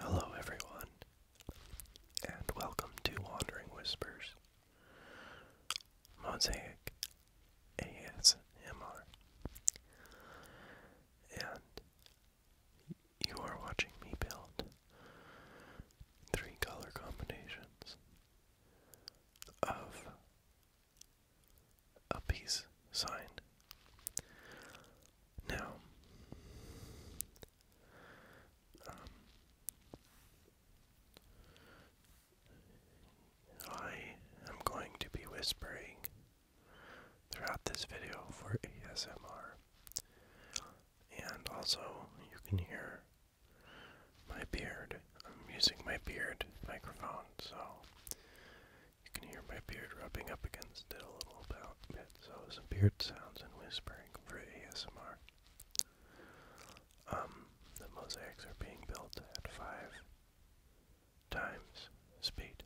Hello, everyone, and welcome to Wandering Whispers Mosaic ASMR. And you are watching me build three color combinations of a peace signed. Now, um, I am going to be whispering throughout this video for ASMR. And also, you can hear my beard. I'm using my beard microphone, so you can hear my beard rubbing up against it a little bit, so some beard sounds and whispering for ASMR. Um, the mosaics are being built at five times speed.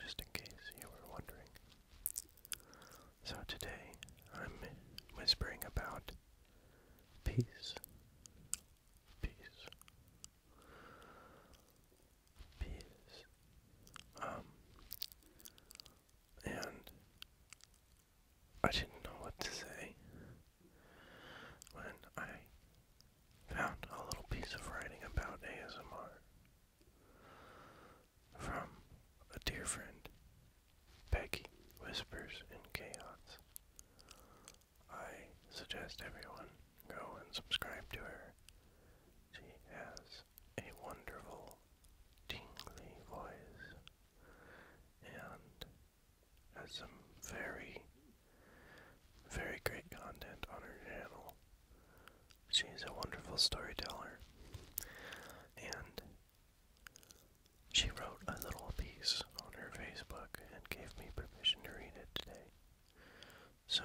Just in case you were wondering. So today I'm whispering about peace, peace, peace. Um, and I didn't know what to say when I found a little piece of writing about ASMR from a dear friend, Peggy Whispers in Chaos. I suggest everyone go and subscribe to her. She has a wonderful, tingly voice and has some very, very great content on her channel. She's a wonderful storyteller and she wrote a little piece on her Facebook and gave me permission to read it today. So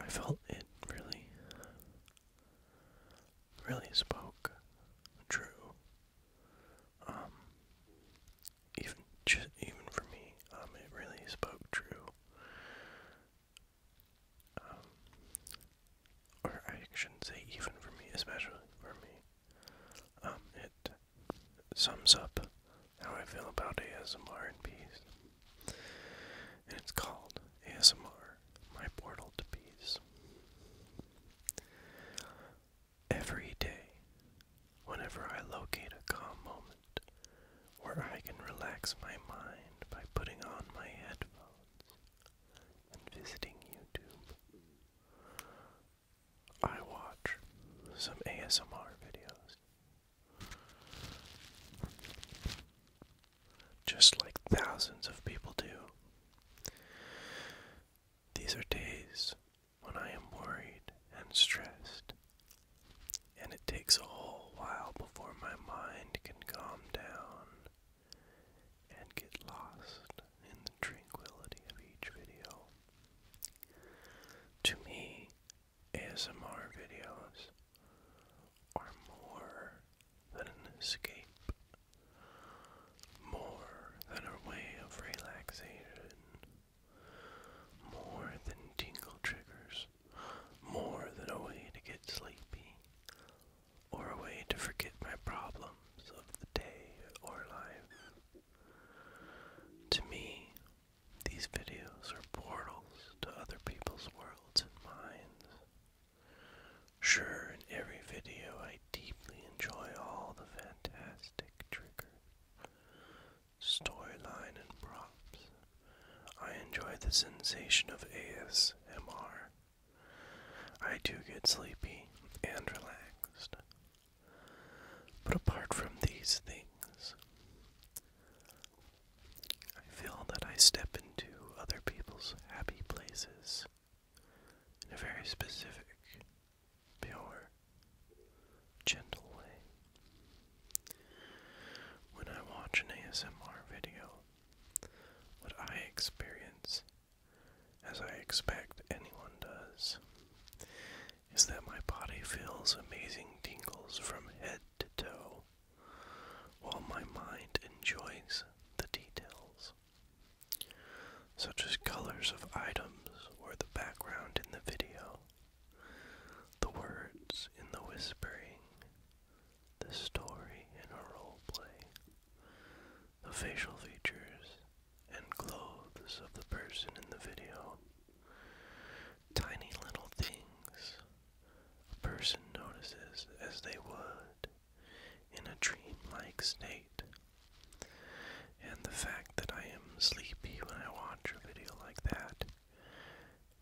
I felt it really, really spoke true. Um, even just even for me, um, it really spoke true. Um, or I shouldn't say even for me, especially for me. it sums up how I feel about ASMR and peace. And it's called ASMR, My Portal to Peace. Every day, whenever I locate a calm moment where I can relax my mind by putting on my headphones and visiting YouTube, I watch some ASMR videos. Just like thousands of people do. These are days when I am worried and stressed, and it takes a whole while before my mind can calm down and get lost in the tranquility of each video. To me, ASMR videos are more than an escape, more than a way of relaxation, more than tingle triggers, more than a way to get sleepy, or a way to forget my problems of the day or life. To me, these videos are portals to other people's worlds and minds. Sure, in every video I deeply enjoy all the fantastic trigger, storyline, and props. I enjoy the sensation of ASMR. I do get sleepy and relaxed. But apart from these things, I feel that I step into other people's happy places in a very specific, pure, gentle way. When I watch an ASMR video, what I experience, as I expect anyone does, is that my body feels amazing tingles from head to toe, while my mind enjoys the details, such as colors of items or the background in the video, the words in the whispering, the story in a role play, the facial features and clothes of the person in the video. Tiny little things a person notices as they would in a dream-like state. And the fact that I am sleepy when I watch a video like that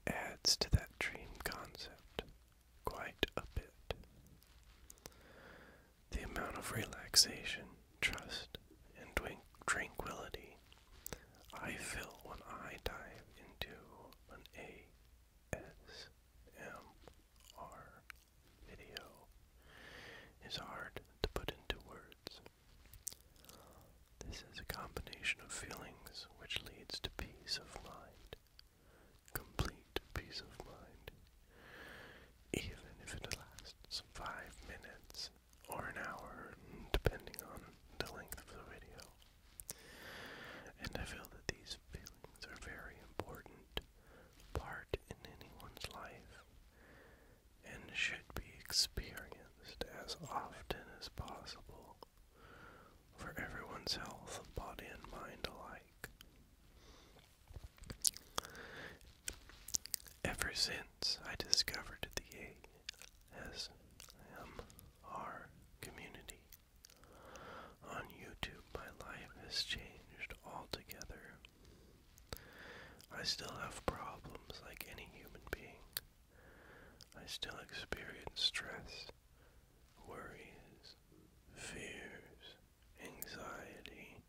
adds to that dream concept quite a bit. The amount of relaxation, trust, and tranquility I feel when I dive into an ASMR video is hard to put into words. This is a combination of feelings which leads to peace of mind, complete peace of mind, even if it lasts five minutes or an hour, depending on the length of the video. And I feel that these feelings are very important part in anyone's life and should be experienced as often as possible for everyone's health, body and mind alike. Ever since I discovered the ASMR community on YouTube, my life has changed altogether. I still have problems like any human being. I still experience stress, worries, fears, anxiety,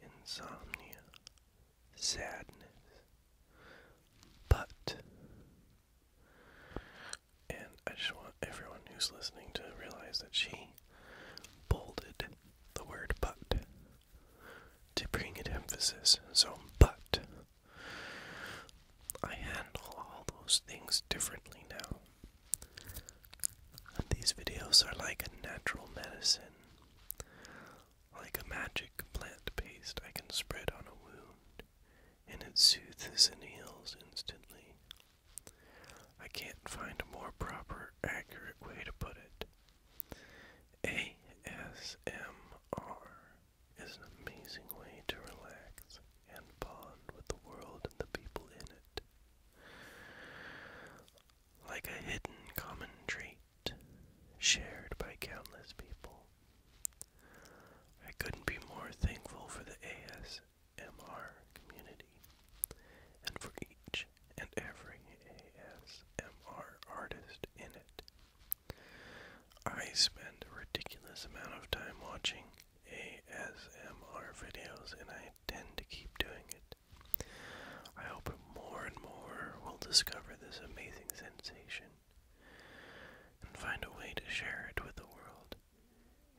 insomnia, sadness. But, and I just want everyone who's listening to realize that she bolded the word but to bring it emphasis. So, but, I handle all those things differently now. these videos are like a natural medicine. Like a magic plant paste, I can spread on a wound, and it soothes and heals instantly. I can't find a more proper, accurate way to put it. ASMR is an amazing way to relax and bond with the world and the people in it like a hidden common trait shared by countless people. I couldn't be more thankful for the ASMR community and for each and every ASMR artist in it. I spend a ridiculous amount of time watching ASMR videos and I intend to keep doing it. I hope more and more will discover this amazing sensation and find a way to share it with the world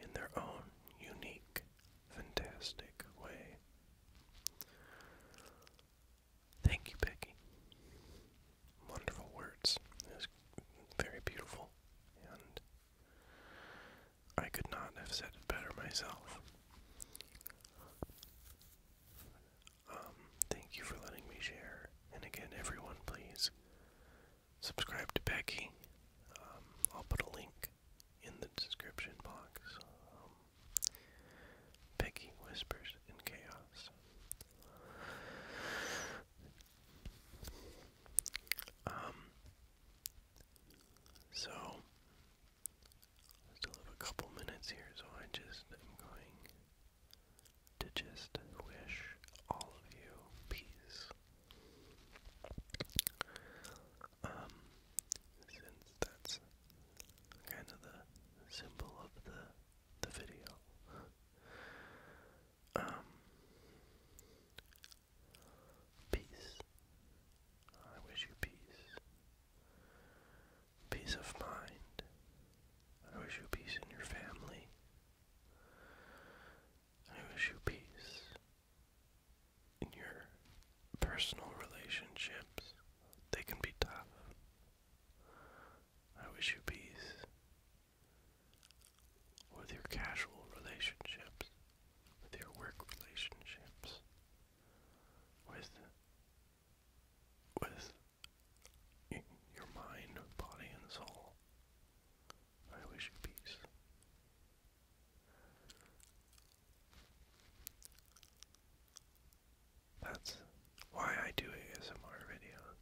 in their own unique, fantastic way. Thank you, Becky. Wonderful words. It was very beautiful, and I could not have said it better myself. Um, thank you for letting me share. And again, everyone, please subscribe to Becky. Um, I'll put a link in the description box. Um, Becky Whispers in Chaos. so, still have a couple minutes here, so I just am going to just wish all of you peace. Um, since that's kind of the symbol of the the video. um, peace. I wish you peace peace of mind. I wish you peace in your family. I wish you peace in your personal relationships. They can be tough. I wish you peace with your casual relationships, with your work relationships, with with your mind, body, and soul. I wish you peace. That's why I do ASMR videos.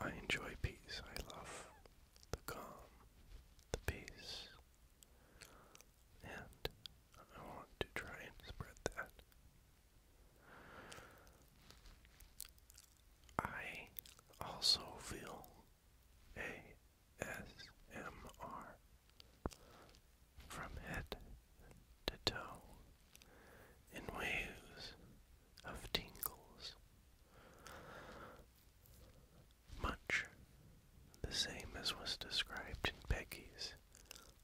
I enjoy peace. I love the calm, the peace, and I want to try and spread that. I also feel ASMR from head to toe in waves of tingles, much the same as was described in Peggy's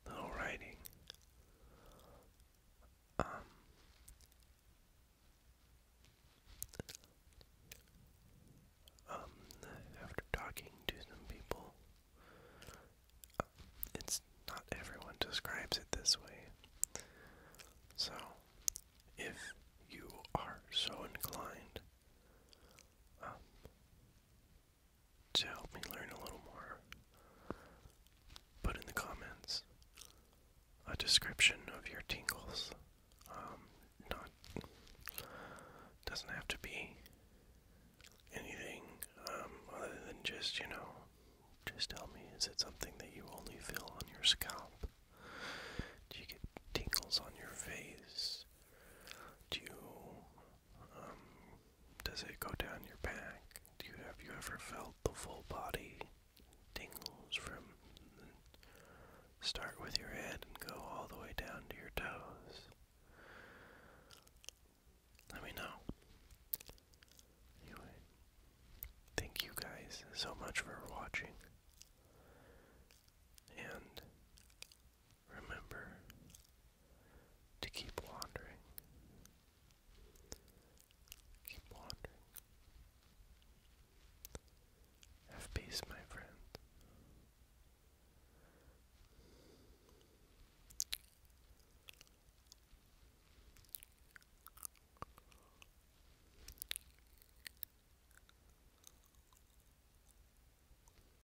little um, um, after talking to some people, uh, it's not everyone describes it this way. So, if you are so inclined, um, to help me learn a little more. Put in the comments a description of your tingles. Um, not doesn't have to be anything um, other than just you know, just tell me is it something that you only feel on your scalp? Do you get tingles on your face? Do you um, does it go down your back? Do you have you ever felt the full body tingles from start with your head and go all the way down to your toes? Let me know. Anyway, thank you guys so much for watching. And Remember to keep wandering. Keep wandering. Have peace, my friend.